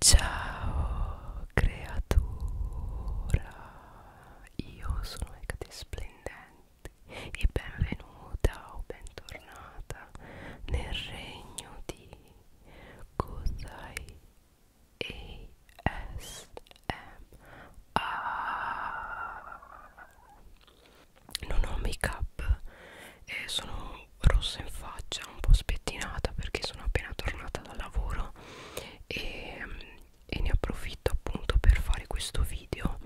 Ciao creatura, io sono Ecate Splendente e benvenuta o bentornata nel regno di Kozai ASMR. Non ho make up eh, sono rossa in faccia, un po' spettinata perché sono appena tornata dal lavoro e, e ne approfitto appunto per fare questo video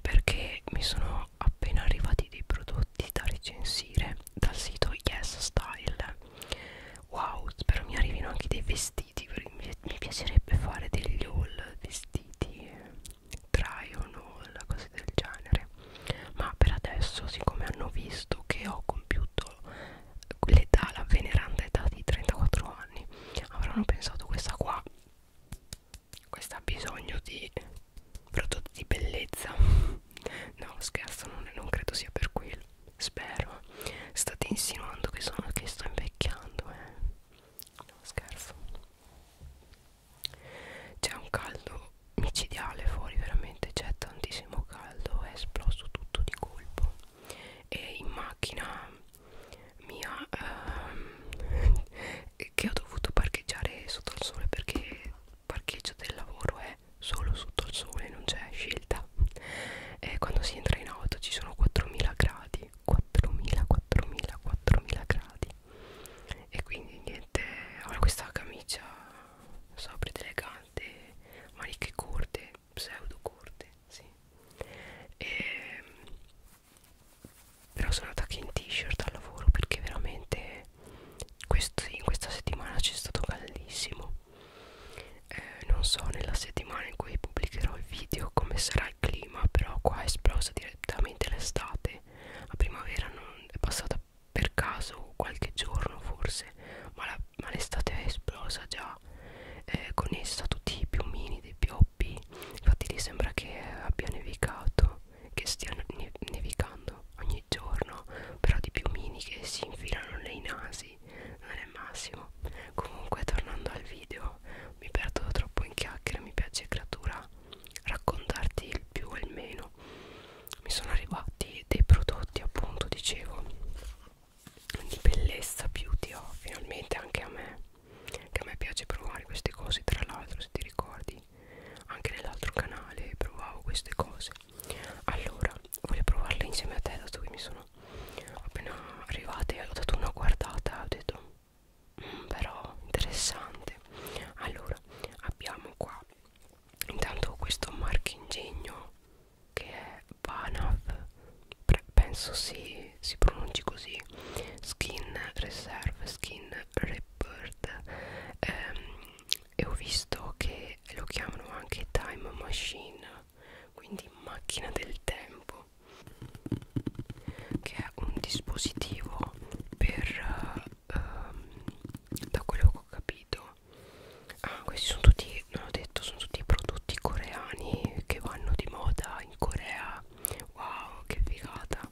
perché mi sono appena arrivati dei prodotti da recensire dal sito Yes Style. Wow, spero mi arrivino anche dei vestiti, mi piacerebbe fare degli haul vestiti, try on haul, cose del genere. Ma per adesso, siccome hanno visto che ho compiuto l'età, la veneranda età di 34 anni avranno pensato questa qua questa ha bisogno di prodotti di bellezza no scherzo non, non credo sia per quello spero state insinuando che, sono, che sto invecchiando eh. no scherzo c'è un caldo micidiale fuori veramente c'è tantissimo caldo è esploso tutto di colpo e in macchina mia ehm, che ho dovuto parcheggiare sotto il sole perché il parcheggio del lavoro è solo sotto il sole non c'è scelta e quando si entra in auto ci sono 4000 gradi 4000 4000 4000 gradi e quindi niente ho questa camicia sobried elegante maniche corte pseudo corte sì e, ehm, però sono andata anche in t-shirt al lavoro perché veramente questi, in questa settimana c'è stato caldissimo eh, non so nella settimana in cui pubblicherò il video come sarà il clima però qua è esplosa direttamente l'estate la primavera non è passata per caso qualche giorno forse ma l'estate è esplosa già eh, con essa tutti i piumini dei pioppi infatti lì sembra che abbia nevicato che stia ne nevicando ogni giorno però di piumini che si infilano nei nasi non è il massimo comunque tornando al video mi perdo troppo in chiacchiere mi piace creatura raccontarti il più e il meno mi sono arrivati dei prodotti appunto dicevo di bellezza beauty oh, finalmente anche a me che a me piace provare queste cose tra l'altro se ti ricordi anche nell'altro canale provavo queste cose allora voglio provarle insieme a te dato che mi sono appena arrivate ho dato una guardata ho detto mm, però interessante allora abbiamo qua intanto questo marchingegno che è Panav penso si, si pronunci così Skin Reserve Skin Report ehm, e ho visto che lo chiamano anche Time Machine quindi macchina del tempo che è un dispositivo per ehm, da quello che ho capito ah, questi sono tutti non ho detto sono tutti prodotti coreani che vanno di moda in Corea wow che figata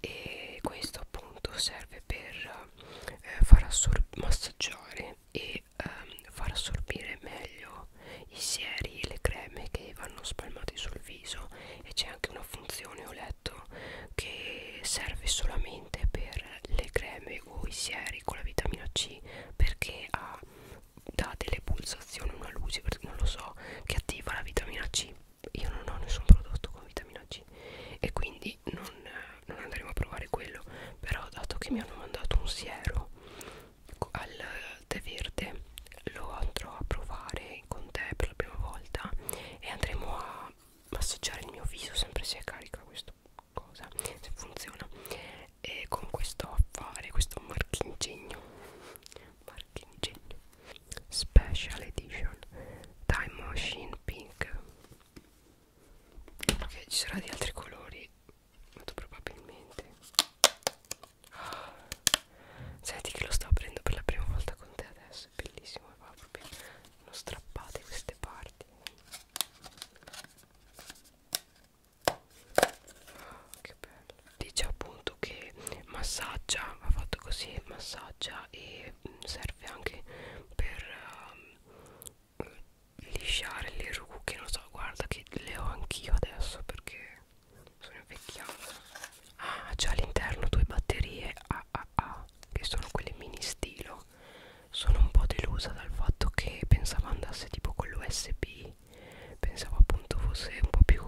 e questo appunto serve per eh, far massaggiare e ehm, far assorbire meglio i sieri e le creme che vanno spalmati sul viso e c'è anche una funzione ho letto che serve solamente per le creme o i sieri con la vitamina C perché ha, dà delle pulsazioni, una luce, non lo so, che attiva la vitamina C. Io non ho nessun prodotto con vitamina C e quindi non, non andremo a provare quello. Però dato che mi hanno mandato un siero al tè verde, lo andrò a provare con te per la prima volta e andremo a massaggiare il mio viso sempre se è carica questo cosa se funziona e con questo affare questo marchingegno marchingegno special edition time machine pink ok ci sarà di altri colori molto probabilmente ah, senti che lo sto aprendo per la prima volta con te adesso è bellissimo va proprio non strappate queste parti che bello. Dice appunto che massaggia, ha fatto così, massaggia e mm, serve anche per um, lisciare le rucche, non so, guarda che le ho anch'io adesso perché sono invecchiata. Ah, c'è all'interno due batterie AAA, ah, ah, ah, che sono quelle mini stilo no sono un po' delusa dal fatto che pensavo andasse tipo con l'USB pensavo appunto fosse un po' più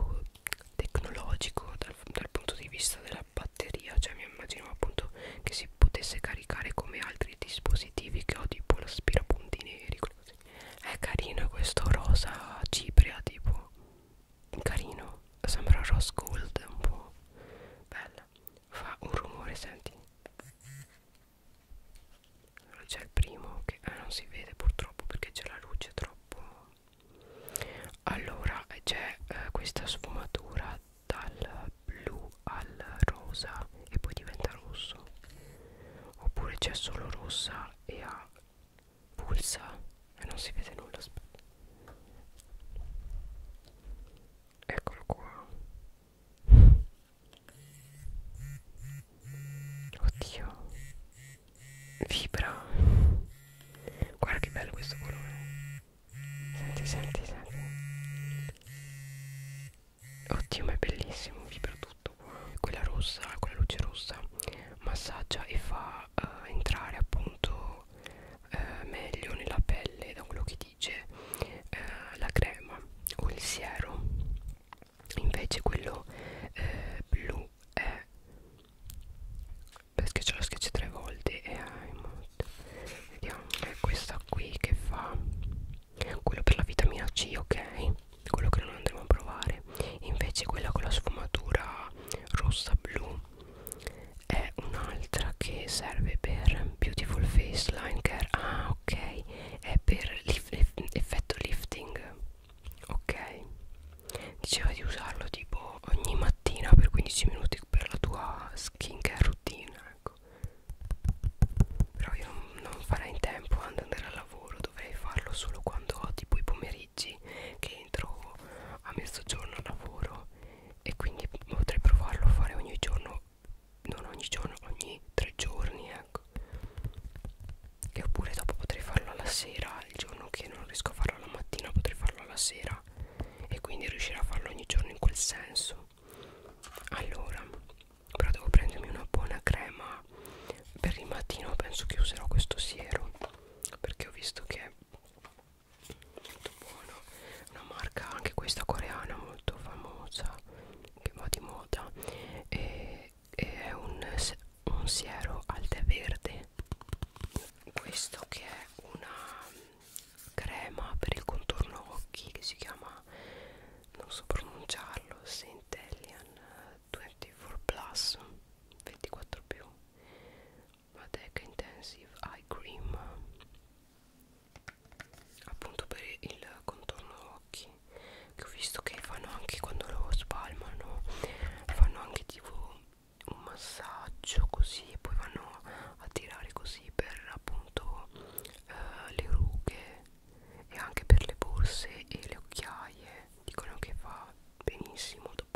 tecnologico dal, dal punto di vista della batteria cioè mi immaginavo appunto che si potesse caricare come altri dispositivi che ho tipo l'aspirapunti neri così. è carino questo rosa cipria tipo carino sembra rose gold un po' bella fa un rumore senti allora c'è il primo che eh, non si vede purtroppo perché c'è la luce troppo allora c'è eh, questa sfumatura dal blu al rosa e poi diventa rosso oppure c'è solo rossa e ha pulsa e non si vede nulla aspetta eccolo qua oddio vibra guarda che bello questo colore senti senti senti oddio ma è bellissimo vibra tutto qua quella rossa quella luce rossa massaggia e fa uh, entrare appunto uh, meglio nella pelle da quello che dice eh, la crema o il siero invece quello eh, blu è perché ce lo schiaccio tre volte e hai molto vediamo è questa qui che fa quello per la vitamina C ok quello che non andremo a provare invece quella con la sfumatura rossa blu è un'altra che serve per beautiful face line care ah ok è per lift, effetto lifting ok diceva di usarlo tipo ogni mattina per 15 minuti per la tua skincare routine ecco però io non, non farei in tempo ad andare al lavoro dovrei farlo solo quando ho tipo i pomeriggi che entro a mezzogiorno al lavoro e quindi potrei provarlo a fare ogni giorno non ogni giorno, ogni tre giorni, ecco. Che oppure dopo potrei farlo alla sera, il giorno che non riesco a farlo alla mattina potrei farlo alla sera e quindi riuscirò a farlo ogni giorno in quel senso. Allora, però devo prendermi una buona crema per il mattino, penso che userò questo siero perché ho visto che è molto buono una marca anche questa coreana molto famosa che va di moda e, e è un, un siero al tè verde questo che è una crema per il contorno occhi che si chiama non so pronunciarlo Centellian 24 plus 24 più Matec Intensive Eye Cream appunto per il contorno occhi che ho visto che fanno anche quando lo spalmano fanno anche tipo un massaggio così e poi vanno a tirare così per appunto eh, le rughe e anche per le borse e le occhiaie dicono che fa benissimo dopo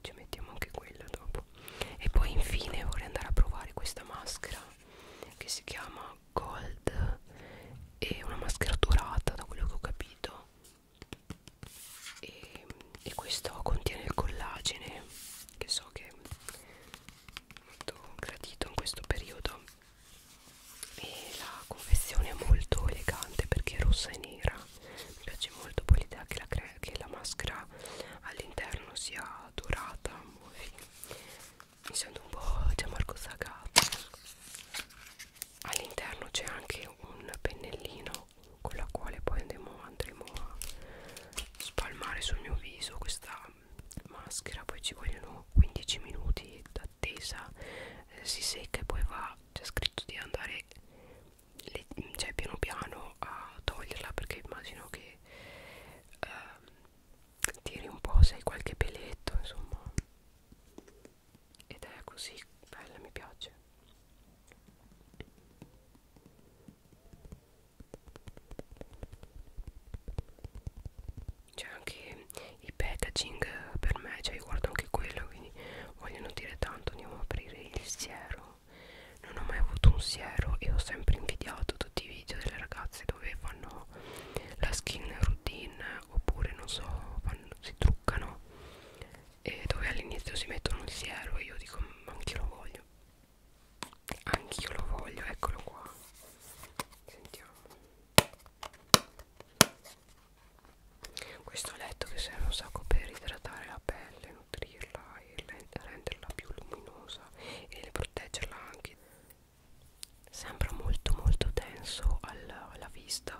ci mettiamo anche quella dopo e poi infine vorrei andare a provare questa maschera che si chiama gold e una maschera dorata da quello che ho capito e, e questo contiene il collagene che so che è molto gradito in questo periodo e la confezione è molto elegante perché è rossa e nera mi piace molto poi l'idea che, che la maschera all'interno sia dorata mi sento un po' Gianmarco diciamo, Sagato all'interno c'è anche un pennellino con la quale poi andremo, andremo a spalmare sul mio viso questa maschera poi ci vogliono 15 minuti d'attesa eh, si secca e poi va c'è scritto di andare le, cioè piano piano a toglierla perché immagino che eh, tiri un po' se hai qualche peletto insomma ed è così bella mi piace c'è anche i packaging per me cioè io guardo anche quello quindi vogliono dire tanto andiamo a aprire il siero non ho mai avuto un siero e ho sempre invidiato tutti i video delle ragazze dove fanno la skin routine oppure non so fanno, si truccano e dove all'inizio si mettono il siero e io dico anch'io lo voglio anch'io lo voglio eccolo qua sentiamo questo letto che serve un sacco per idratare la pelle nutrirla e renderla più luminosa e proteggerla anche sembra molto molto denso alla, alla vista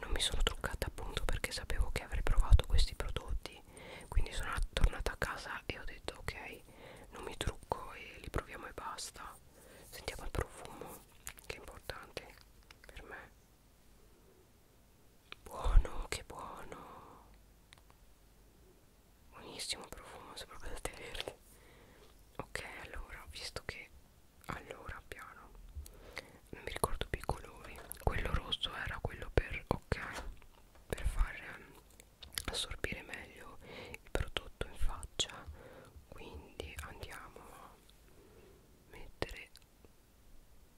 non mi sono truccata appunto perché sapevo che avrei provato questi prodotti quindi sono tornata a casa e ho detto ok non mi trucco e li proviamo e basta sentiamo il profumo che è importante per me buono che buono buonissimo profumo sembra proprio da tenerli ok allora visto che allora piano non mi ricordo più i colori quello rosso era quello per ok per far ehm, assorbire meglio il prodotto in faccia quindi andiamo a mettere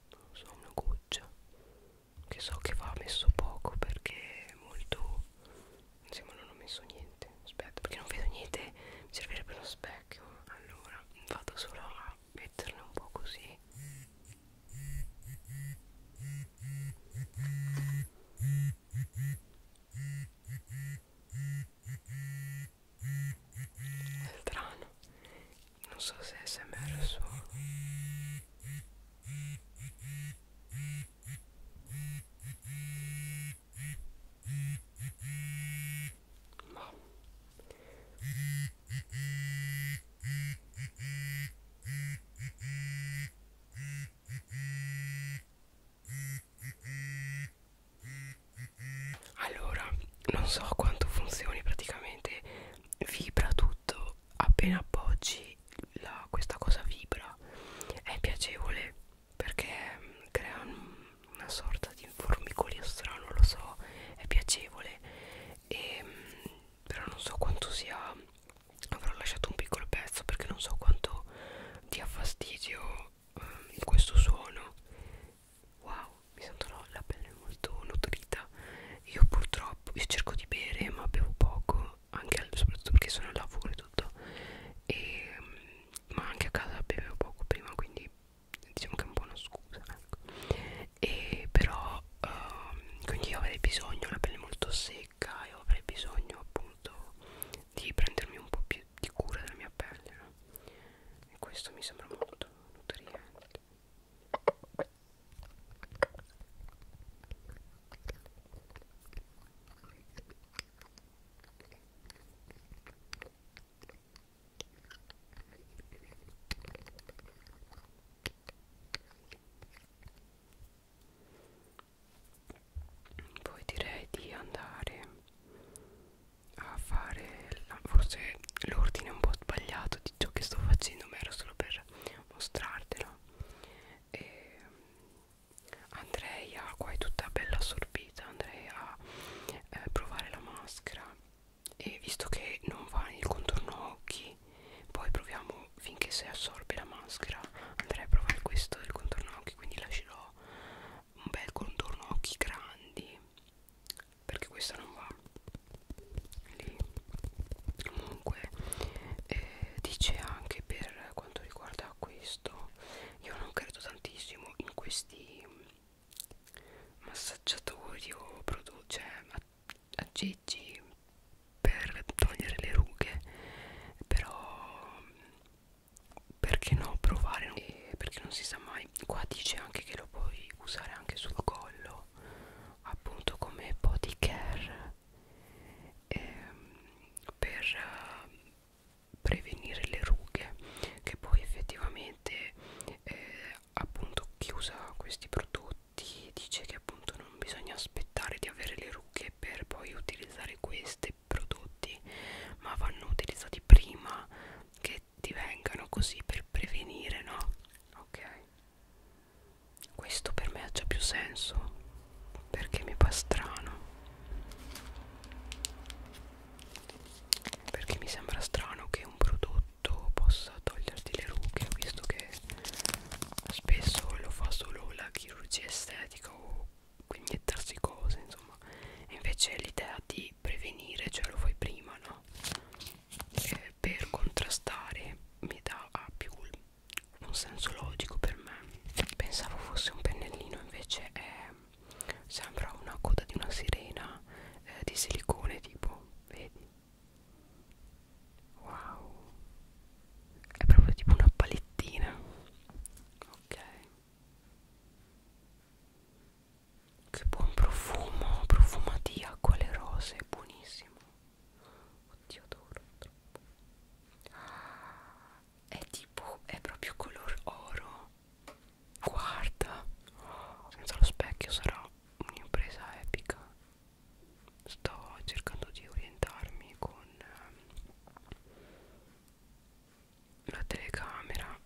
non so una goccia che so che va messo poco perché è molto Insomma non ho messo niente Aspetta perché non vedo niente Mi servirebbe uno specchio Allora vado solo a metterne un po' così è strano non so se è smr o solo ma. Allora, non so quanto funzioni praticamente, vibra tutto, appena appoggi la, questa cosa vibra, è piacevole perché mm, crea una sorta di formicolio strano, lo so, è piacevole, e, mm, però non so quanto sia, avrò lasciato un piccolo pezzo perché non so quanto dia fastidio eh, questo suono. Wow, mi sento la pelle molto nutrita. Io purtroppo, io cerco di bere ma bevo poco anche al, soprattutto perché sono al lavoro e tutto e, mm, ma anche a casa bevevo poco prima quindi diciamo che è un po' una scusa ecco. e però um, quindi io avrei bisogno la pelle molto secca e avrei bisogno appunto di prendermi un po' più di cura della mia pelle no? e questo mi sembra molto nutriente poi direi di andare a fare la, forse l'ordine un po' sbagliato di ciò che sto facendo, ma era solo per mostrartelo. E ehm, Andrea qua è tutta bella assorbita andrei a eh, provare la maschera e visto che non va nel contorno occhi poi proviamo finché si assorbe la maschera andrei a provare questo del contorno occhi quindi lascerò un bel contorno occhi grandi perché questa non va lì comunque eh, dice anche per quanto riguarda questo questo io non credo tantissimo in questi massaggiatori o prodotti cioè aggeggi per togliere le rughe però perché no provare e perché non si sa mai qua dice anche che lo puoi usare anche sul collo appunto come body care ehm, per prevenire le rughe che poi effettivamente eh, appunto chi usa questi prodotti dice che appunto non bisogna aspettare di avere le rughe per poi utilizzare questi prodotti ma vanno utilizzati prima che divengano così per prevenire no ok questo per me ha già più senso perché mi fa strano perché mi sembra strano che un prodotto possa toglierti le rughe visto che spesso lo fa solo la chirurgia estetica o iniettarsi cose insomma e invece l'idea di prevenire cioè lo fai prima no e per contrastare mi dà più un senso logico per me pensavo fosse un pennellino invece è sembra una coda di una sirena eh, di silicone tipo vedi wow è proprio tipo una palettina ok che buon profumo profumo di acqua alle rose buonissimo oddio adoro troppo ah, è tipo è proprio color oro guarda senza lo specchio sarà un'impresa epica sto cercando di orientarmi con ehm, la telecamera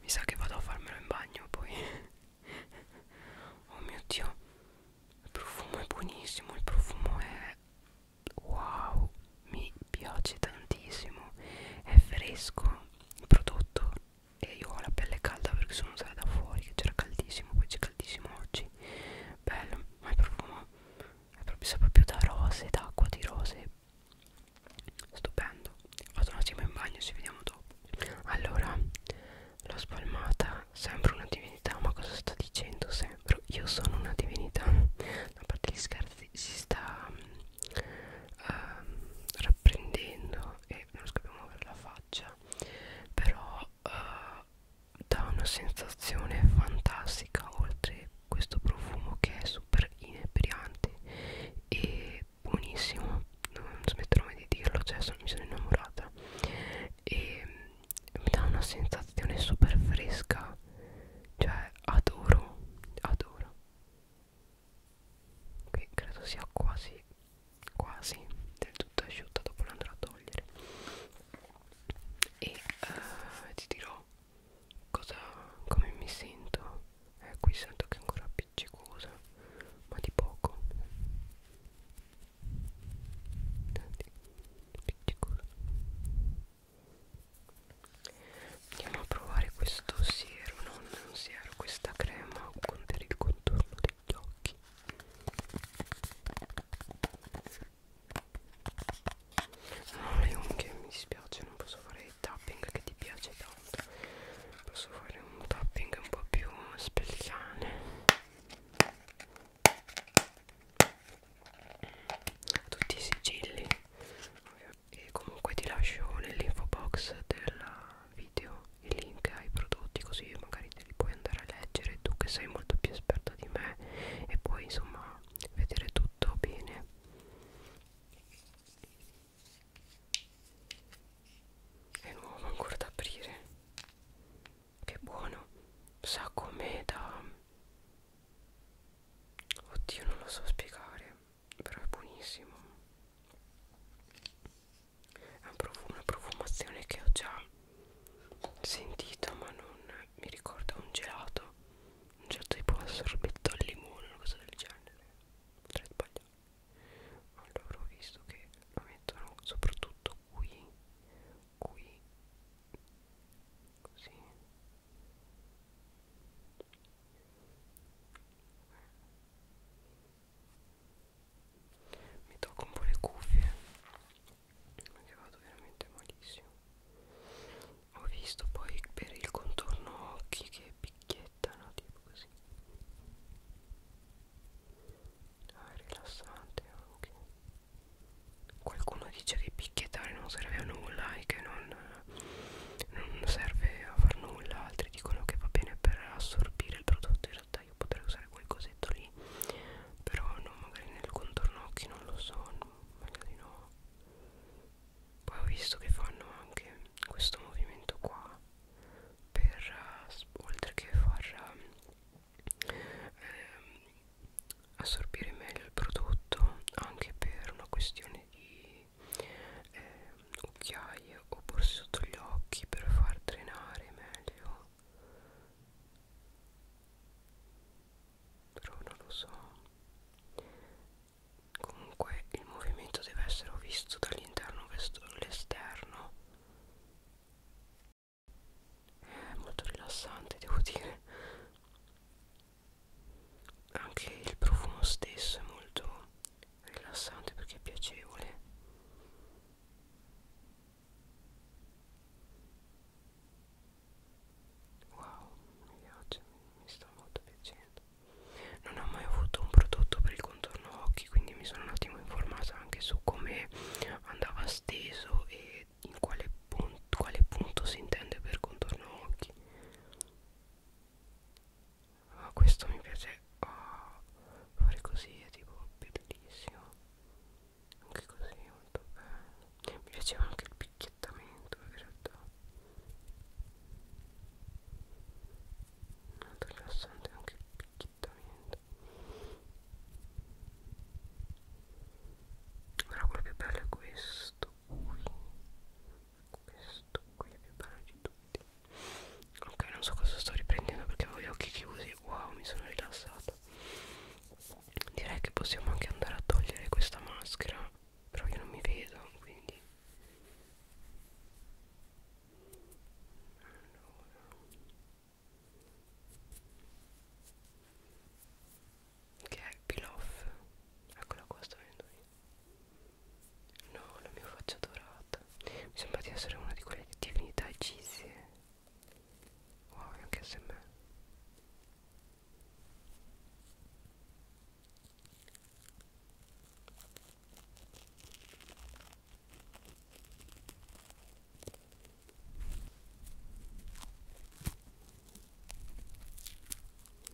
mi sa che vado a farmelo in bagno poi oh mio dio il profumo è buonissimo il profumo è wow mi piace tantissimo è fresco il prodotto e io ho la pelle calda perché sono usata da fuori che c'era caldissimo poi c'è caldissimo oggi bello ma è profumo è proprio sa proprio da rose d'acqua di rose stupendo vado un attimo in bagno ci vediamo dopo allora l'ho spalmata sembra una divinità ma cosa sta dicendo sempre però io sono una divinità. A parte gli scherzi si sta um, rapprendendo e non riesco più a muovere la faccia. Però uh, dà una sensazione fantastica oltre questo profumo che è super inebriante e buonissimo non smetterò mai di dirlo cioè sono, mi sono innamorata e mm, mi dà una sensazione super fresca bellissima cioè adoro adoro qui credo sia quasi quasi del tutto asciutta dopo l'andrò a togliere e eh, ti dirò cosa come mi sento eh, qui sento che è ancora appiccicosa ma di poco Tanti, appiccicosa andiamo a provare questo siero non un siero questa crema con per il contorno degli occhi non ho le unghie mi dispiace non posso fare il tapping che ti piace tanto posso fare un tapping un po' più speziale a tutti i sigilli e comunque ti lascio nell'info box del video il link ai prodotti così magari te li puoi andare a leggere tu che sei molto più esperta di me e puoi insomma vedere tutto bene è nuovo ancora da aprire che buono sa come da Oddio non lo so spiegare Però è buonissimo È un profumo, una profumazione che ho già sentito Ma non mi ricordo un gelato Un certo tipo un sorbetto al limone Una cosa del genere Potrei sbagliare Allora ho visto che lo mettono soprattutto qui Qui Così mi tocco un po' le cuffie perché vado veramente malissimo ho visto poi per il contorno occhi che picchiettano tipo così ah, è rilassante anche qualcuno dice che picchiettare non serve a nulla e che non, non serve a far nulla altri dicono che va bene per assorbire il prodotto in realtà io potrei usare quel cosetto lì però no magari nel contorno occhi non lo so magari no poi ho visto che fanno anche questo movimento qua per uh, oltre che far uh, ehm, assorbire meglio il prodotto anche per una questione di eh, occhiaie o borse sotto gli occhi per far drenare meglio però non lo so comunque il movimento deve essere visto dall'interno verso l'esterno è molto rilassante devo dire anche il profumo stesso è molto rilassante perché è piacevole wow mi piace mi sta molto piacendo non ho mai avuto un prodotto per il contorno occhi quindi mi sono un attimo informata anche su come andava steso e in quale punto, quale punto si intende per contorno occhi oh, questo mi piace oh, fare così è tipo bellissimo anche così molto bello mi piaceva anche il picchiettamento in realtà molto rilassante anche il picchiettamento però quello più bello è questo qui questo qui è più bello di tutti ok non so cosa sto riprendendo perché avevo gli occhi chiusi wow mi sono rilassata direi che possiamo anche andare a togliere questa maschera però io non mi vedo quindi allora che è il pilaf eccola qua sto vedendo io no la mia faccia dorata mi sembra di essere una di quelle divinità egizie wow anche se me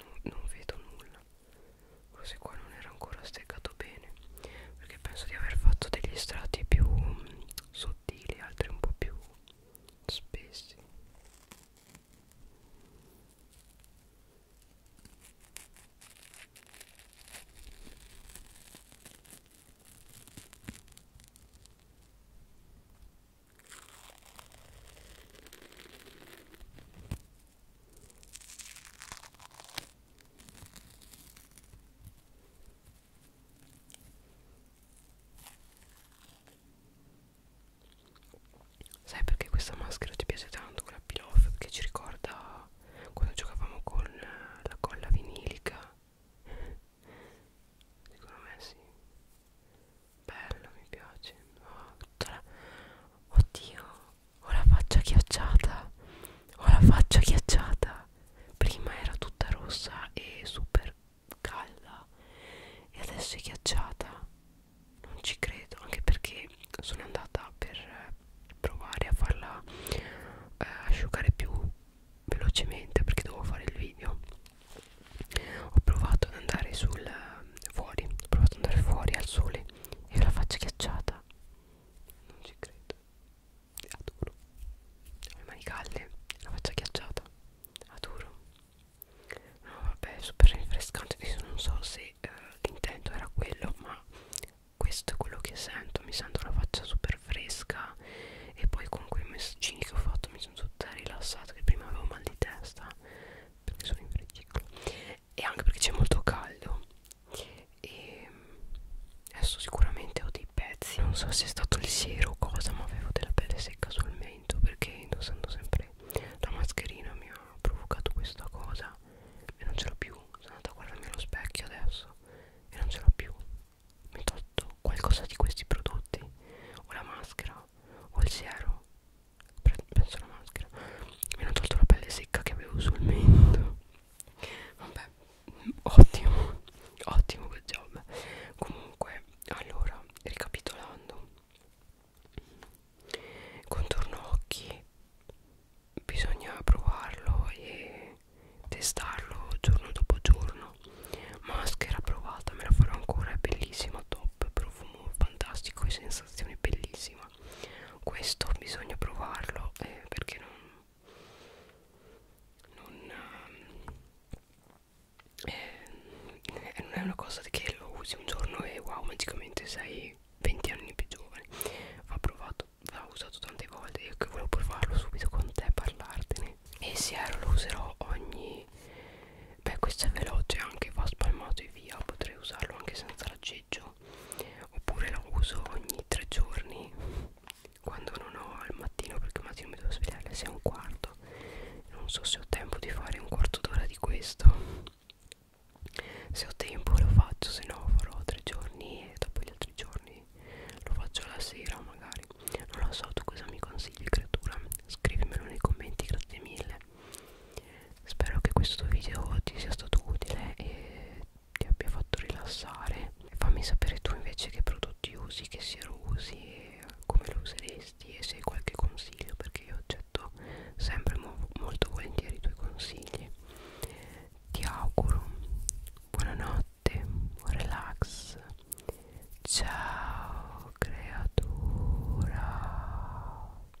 non, non vedo nulla forse qua non era ancora steccato bene perché penso di aver fatto degli strati più mm, sottili altri un po' più spessi Sai perché questa maschera ti piace tanto quella pilloff? Perché ci ricorda quando giocavamo con la colla vinilica. Secondo me sì bello mi piace oh, la... oddio ho la faccia ghiacciata ho la faccia ghiacciata prima era tutta rossa e super calda e adesso è ghiacciata non ci credo anche perché sono andata per eh, provare a farla eh, asciugare più velocemente perché devo fare il video ho provato ad andare sul fuori ho provato ad andare fuori al sole e ho la faccia ghiacciata non ci credo adoro ho le mani calde la faccia ghiacciata adoro no vabbè super rinfrescante adesso non so se eh, l'intento era quello ma questo è quello che sento mi sento la faccia super fresca e poi con quei messaggini che ho fatto mi sono tutta rilassata che prima avevo mal di testa perché sono in frigicolo e anche perché c'è molto caldo e adesso sicuramente ho dei pezzi non so se è stato il siero o cosa ma avevo della pelle secca sul mento perché indossando sempre la mascherina mi ha provocato questa cosa e non ce l'ho più sono andata a guardarmi allo specchio adesso e non ce l'ho più mi tolto qualcosa di questi prodotti o la maschera o il siero penso la maschera mi hanno tolto la pelle secca che avevo sul mento vabbè ottimo ottimo quel job comunque allora ricapitolando contorno occhi bisogna provarlo e testarlo giorno dopo giorno maschera provata me la farò ancora è bellissima top profumo fantastico e sensazione bellissima questo bisogna provarlo eh, perché non non, eh, eh, non è una cosa che lo usi un giorno e wow magicamente sei 20 anni più giovane va provato l'ho usato tante volte io che volevo provarlo subito con te parlartene e se ero lo userò ogni beh questo è veloce anche va spalmato e via potrei usarlo anche senza la l'aggeggio oppure la uso ogni tre giorni quando non ho al mattino perché al mattino mi devo svegliare alle 6 e un quarto non so se ho tempo di fare un quarto d'ora di questo se ho tempo lo faccio se no farò tre giorni e dopo gli altri giorni lo faccio la sera magari non lo so tu cosa mi consigli creatura scrivimelo nei commenti grazie mille bene spero che questo video ti sia stato utile e ti abbia fatto rilassare e fammi sapere tu invece che prodotti usi che siero usi come lo useresti e se hai qualche consiglio perché io accetto sempre mo molto volentieri i tuoi consigli ti auguro buonanotte buon relax ciao creatura